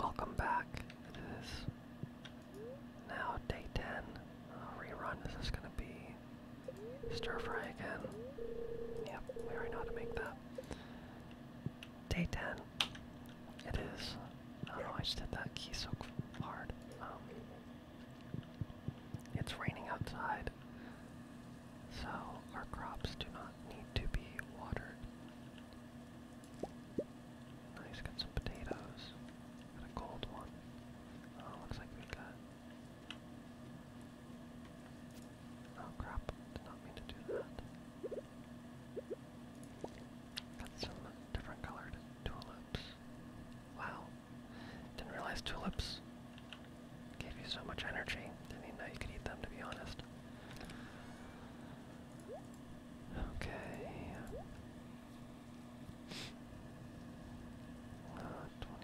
Welcome back. It is now day 10. A rerun. This is going to be stir fry again. Yep, we already know how to make that. Day 10. It is. I don't I just did that key so hard. Um, it's raining outside, so our crops do not need to be watered. Nice, got some potatoes. Got a gold one. Oh, looks like we got. Oh crap, did not mean to do that. Got some different colored tulips. Wow. Didn't realize tulips gave you so much energy. Didn't even know you could eat them, to be honest. Okay. Uh, 25. 25.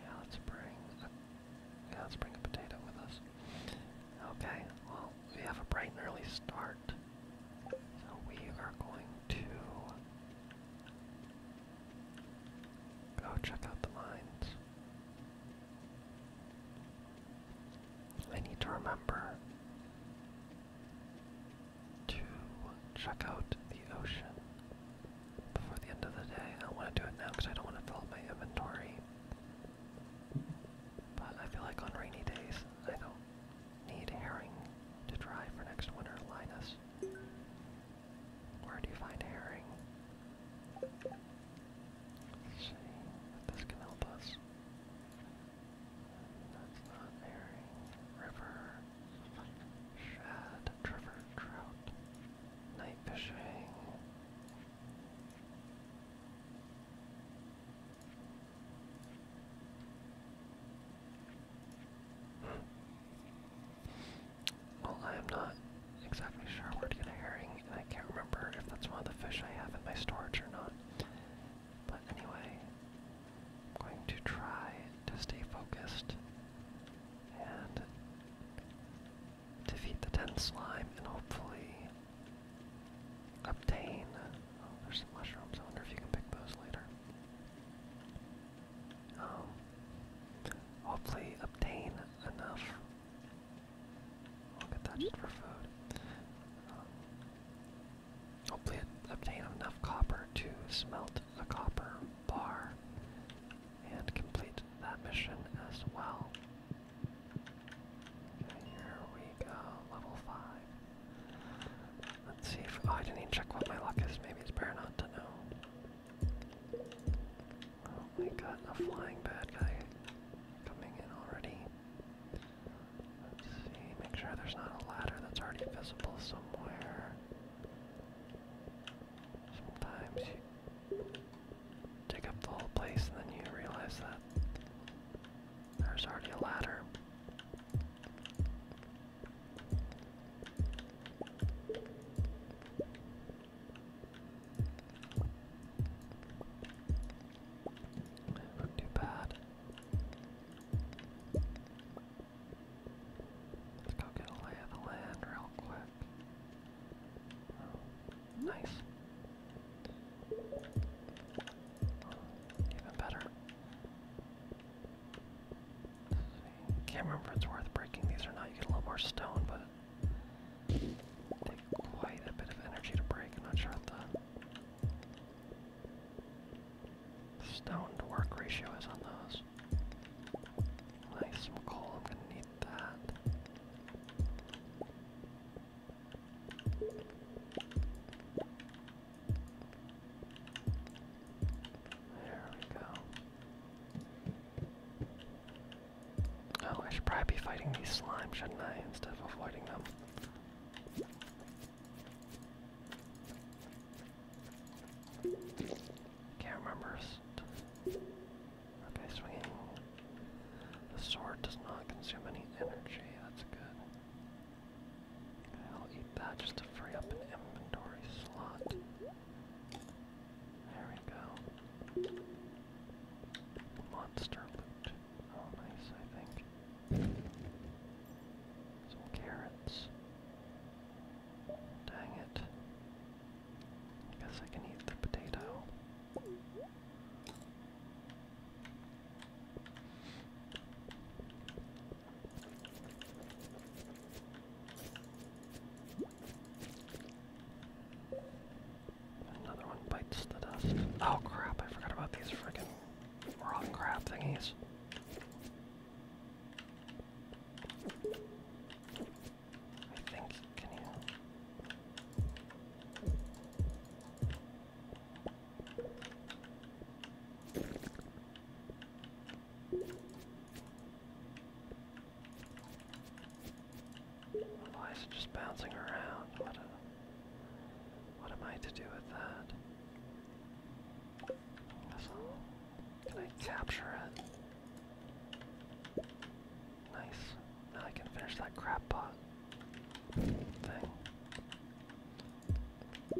Yeah, let's bring yeah, let's bring a potato with us. Okay, well, we have a bright and early start. So we are going to Go check out the mines. I need to remember to check out the ocean before the end of the day. I don't want to do it now because I don't want to fill up my inventory. But I feel like on rainy days, I don't need herring to dry for next winter, Linus. Where do you find herring? see if this can help us. not herring. River. Shad. Trevor. Trout. Night fishing. Well, I am not exactly sure where to get a herring, and I can't remember if that's one of the fish I have in my storage or not. But anyway, I'm going to try to stay focused and defeat the 10 slime and hopefully obtain. Oh, there's some mushrooms. I wonder if you can pick those later. Oh. hopefully obtain enough. I'll that for food. Um, hopefully obtain enough copper to smelt a copper bar and complete that mission as well. Okay, here we go, level 5. Let's see if, oh, I didn't even check what my luck is, maybe it's better not to know. Oh my god, a flying bad guy coming in already. Let's see, make sure there's not a ladder that's already visible somewhere. Sometimes you dig up the whole place and then you realize that there's already a ladder. Not too bad. Let's go get a of the land real quick. Oh, nice. even better. Can't remember if it's worth breaking these or not. You get a little more stone, but quite a bit of energy to break. I'm not sure what the stone to work ratio is on those. Nice, some I'm gonna need that. There we go. Oh, I should probably be fighting these slimes, shouldn't I, instead of avoiding them? Can't remember. Okay, swinging. The sword does not consume any energy. That's good. I'll eat that just to free up an inventory slot. There we go. Monster loot. Oh, nice, I think. Some carrots. Dang it. I guess I can eat the potato. Another one bites the dust. Oh crap, I forgot about these friggin' rock crab thingies. I think, can you... Why is it just bouncing around? What, what am I to do with that? Can I capture it? Nice. Now I can finish that crap pot thing.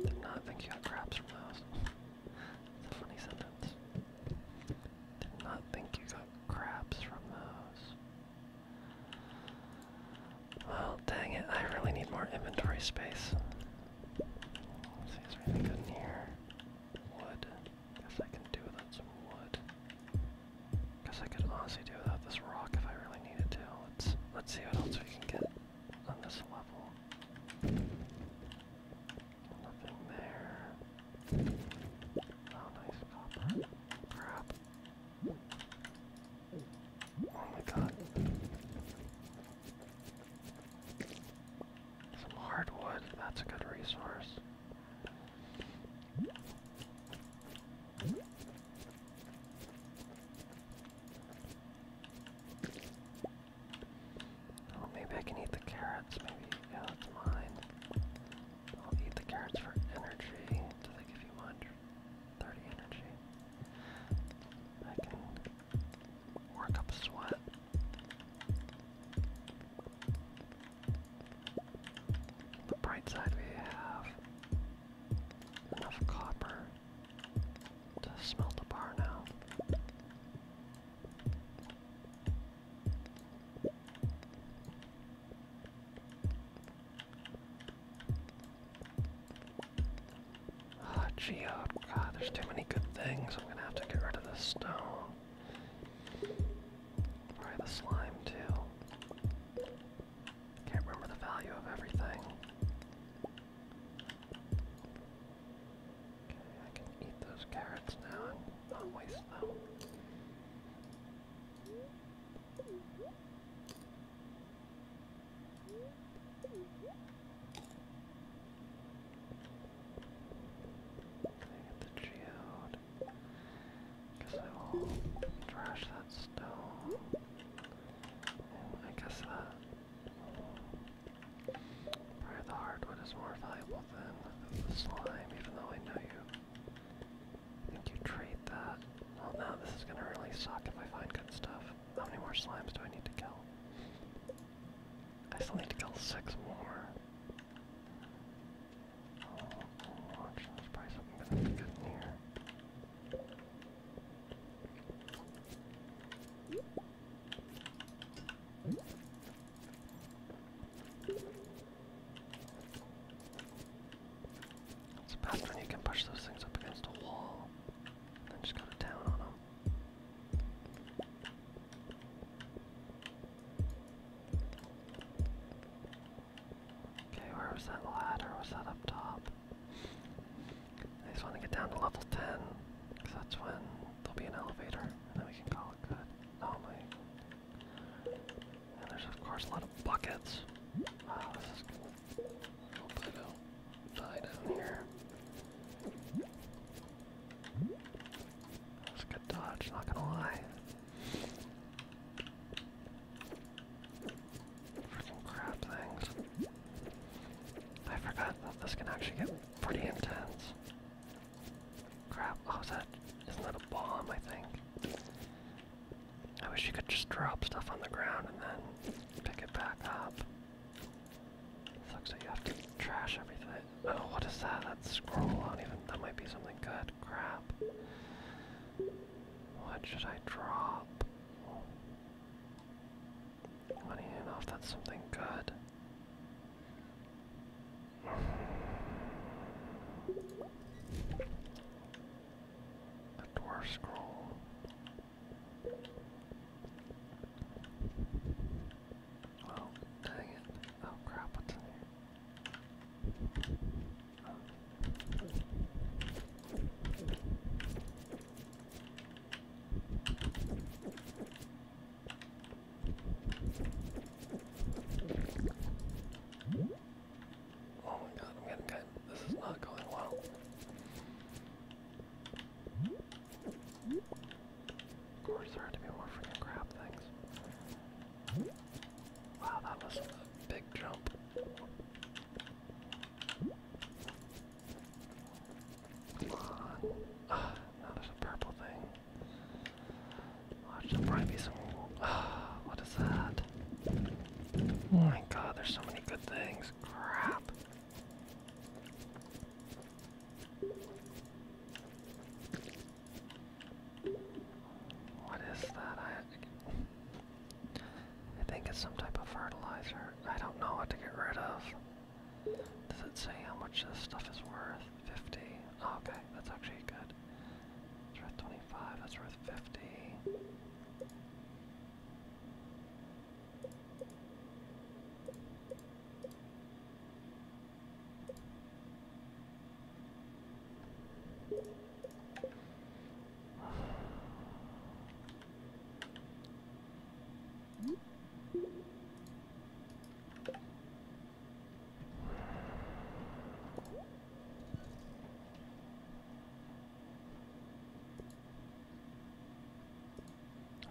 Did not think you got craps from those. it's a funny sentence. Did not think you got crabs from those. Well, dang it, I really need more inventory space. Let's good in here? Wood. Guess I can do without some wood. Guess I could honestly do without this rock if I really needed to. Let's let's see what else we can get on this level. Nothing there. Oh, nice copper. Crap. Oh my god. Some hardwood, that's a good resource. Oh, maybe I can eat the carrots. Maybe, yeah, that's mine. I'll eat the carrots for energy. Do they give you much? energy. I can work up sweat. The bright side, we have enough copper to smelt a bar now. Ah, oh, God, there's too many good things. I'm gonna have to get rid of this stone. Probably the slime, too. Can't remember the value of everything. Okay, I can eat those carrots now and not waste them. I get the geode. Guess I will trash that stone. I guess that Probably the hardwood is more valuable than the slime, even though I know you think you trade that. Well, now this is gonna really suck if I find good stuff. How many more slimes do I need to kill? I still need to kill six more. Oh, watch, there's probably something gonna be good in here. It's best when you can push those things up against a wall and then just go to town on them. Okay, where was that ladder? Was that up top? I just want to get down to level 10, because that's when There'll be an elevator, and then we can call it good. Oh my. And there's of course a lot of buckets. Wow, this is cool. We'll put it here. That's a good dodge, not gonna lie. Freaking crap things. I forgot that this can actually get pretty intense. Crap, oh, is that, isn't that a bomb, I think? I wish you could just drop stuff on the ground and then pick it back up. Sucks that you have to trash everything. Oh, what is that? That scroll, I even, that might be something good. Crap. What should I drop? I don't even know if that's something good. The dwarf scroll. Oh, dang it. Oh crap, what's in here? Oh. Oh my god, I'm getting kind this is not going well. Of course there had to be more freaking crap things. Wow, that was a big jump. Come on. now there's a purple thing. Oh, there'll what is that? Oh my god, there's so many good things. Crap. What is that? I think it's some type of fertilizer. I don't know what to get rid of. Does it say how much this stuff is worth? 50. okay, that's actually good. It's worth 25, that's worth 50.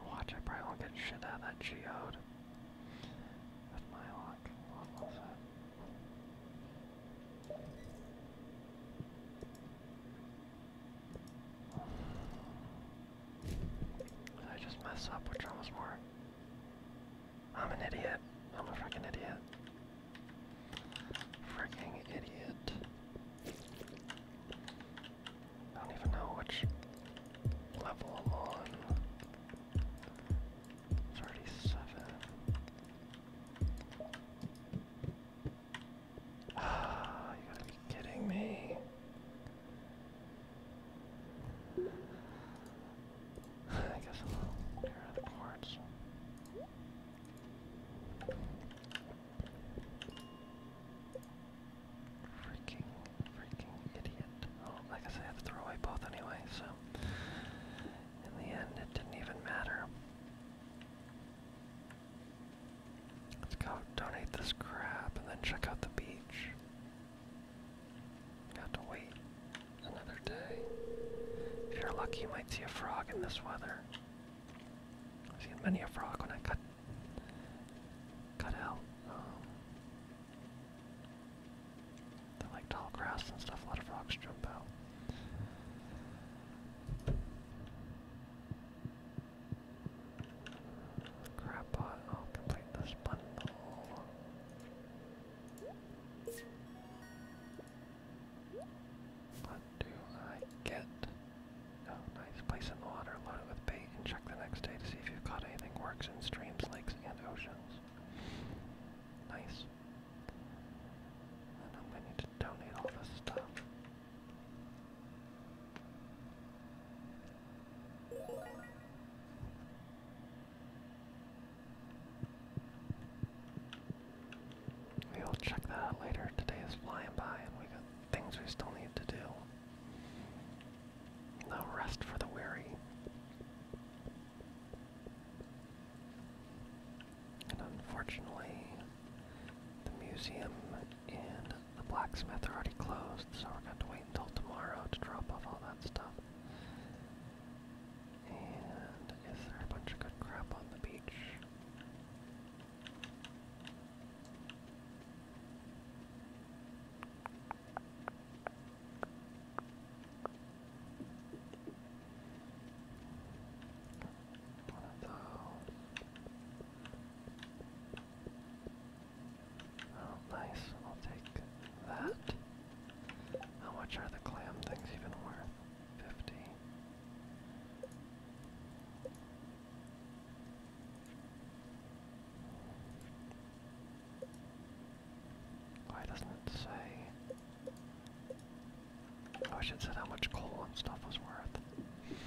Watch, I probably won't get shit out of that geode. With my luck. I just mess up? Which one was more? I'm an idiot. I'm a freaking idiot. Freaking idiot. I don't even know which level I'm on. It's Ah, you gotta be kidding me. I guess I'll get the quartz. Freaking, freaking idiot. Oh, I said, I had to throw away both anyway, so in the end, it didn't even matter. Let's go donate this crap and then check out the beach. Got to wait another day. If you're lucky, you might see a frog in this weather. I've seen many a frog when I cut cut out. Um, they like tall grass and stuff. A lot of frogs jump out. Crab oh, I'll complete this bundle. What do I get? Oh, nice. Place in the water, load it with bait, and check the next day to see if you've caught anything works in streams, lakes, and oceans. Nice. I'm going need to donate all this stuff. We will check that later. Today is flying by and we got things we still need to do. No rest for the weary. And unfortunately, the museum and the blacksmith are already closed, so we're gonna wait until tomorrow to drop off all that stuff. And is a bunch of good crap on the beach? Oh, nice. I'll take that. How much are the clam things even worth? Fifty. Why doesn't it say? Oh, I should said how much coal and stuff was worth.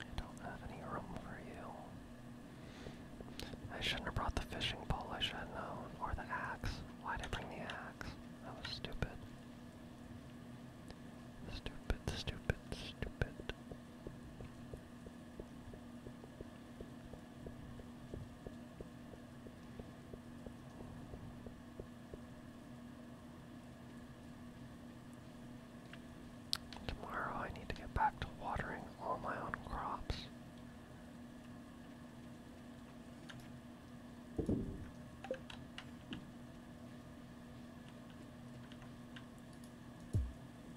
I don't have any room for you. I shouldn't have brought the fishing pole, I should have known. Or the axe. Why did I bring the axe? That was stupid. Stupid, stupid, stupid. Tomorrow I need to get back to watering all my own crops.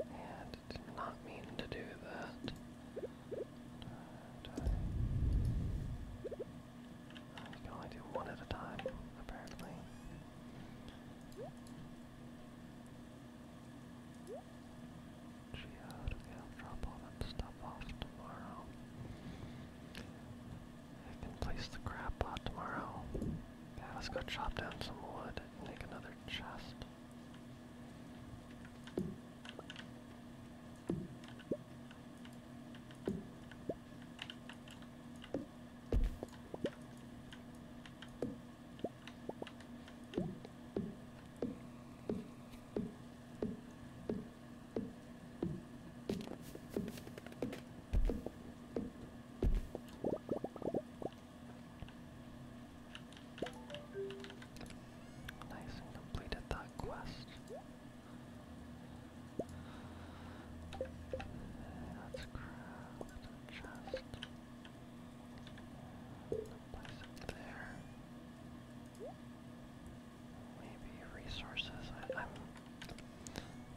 And did not mean to do that. You can only do one at a time, apparently. Geode, drop all that stuff off tomorrow. I can place the crab pot tomorrow. let's go chop down some wood make another chest. Nice and completed that quest. Let's craft a there. Maybe resources. I, am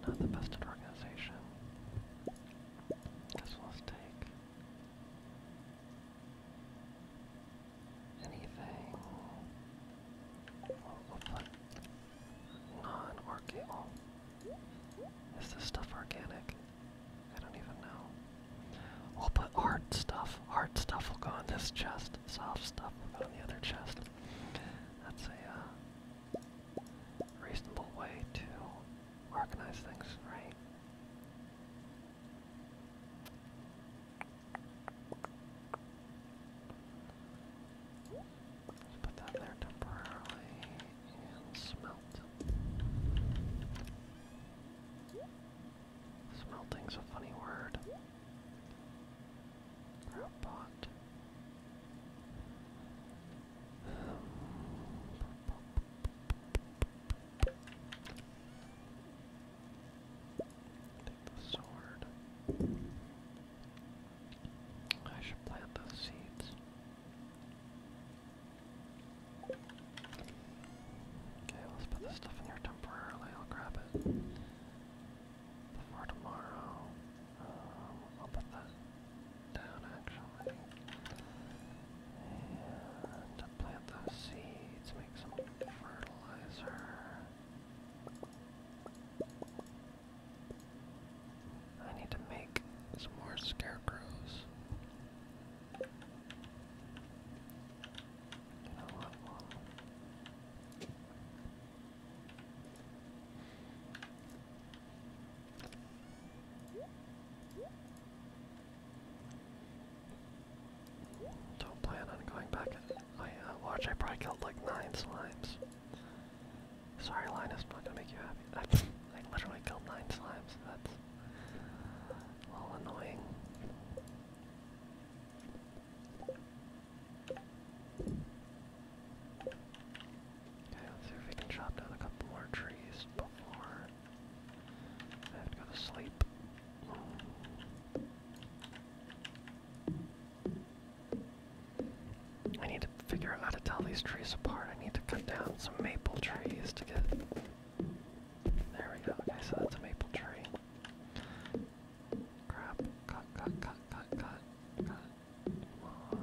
not the best at organization. Guess will take anything. Non-organic. Is this stuff organic? I don't even know. We'll put hard stuff. Art stuff will go on this chest. Soft stuff will go on the other chest. That's a uh, reasonable way to organize things, right? let put that there temporarily and smelt. Smelting's a funny word. Brow pot. Take the sword. I should plant those seeds. Okay, let's put this stuff in here temporarily. I'll grab it before tomorrow. Um, I'll put that down actually. And plant those seeds, make some fertilizer. I need to make some more scarecrows. Don't plan on going back I oh, watch, I probably killed like nine slimes. Sorry, Linus, i not gonna make you happy. I, I literally killed nine slimes. That's a annoying. Okay, let's see if we can chop down a couple more trees before I have to go to sleep. I need to figure out how to tell these trees apart. I need to cut down some maple trees to get. There we go. Okay, so that's a maple tree. Crap. Cut, cut, cut, cut, cut, cut. More.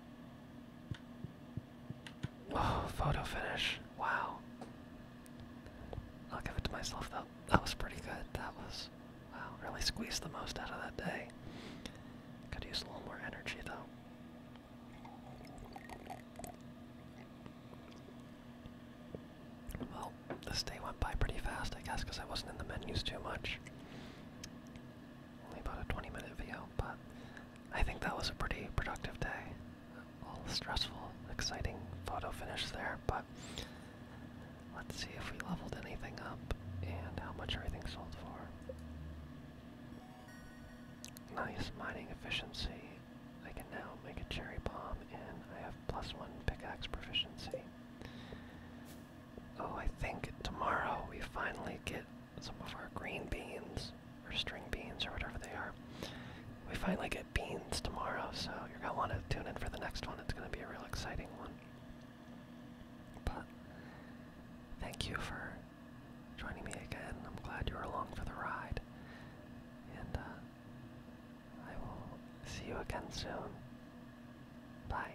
Oh, photo finish. Wow. I'll give it to myself though. That was pretty good. That was wow, really squeezed the most out of that day. Could use a little more energy though. Well, this day went by pretty fast, I guess, because I wasn't in the menus too much only about a 20 minute video, but I think that was a pretty productive day. All stressful, exciting photo finish there, but let's see if we leveled anything up and how much everything sold for. Nice mining efficiency. I can now make a cherry bomb and I have plus one pickaxe proficiency. Oh, I think tomorrow we finally get some of our green beans, or string beans, or whatever they are. We finally get beans tomorrow, so you're going to want to tune in for the next one. It's going to be a real exciting one. But thank you for joining me again. I'm glad you were along for the ride. And uh, I will see you again soon. Bye.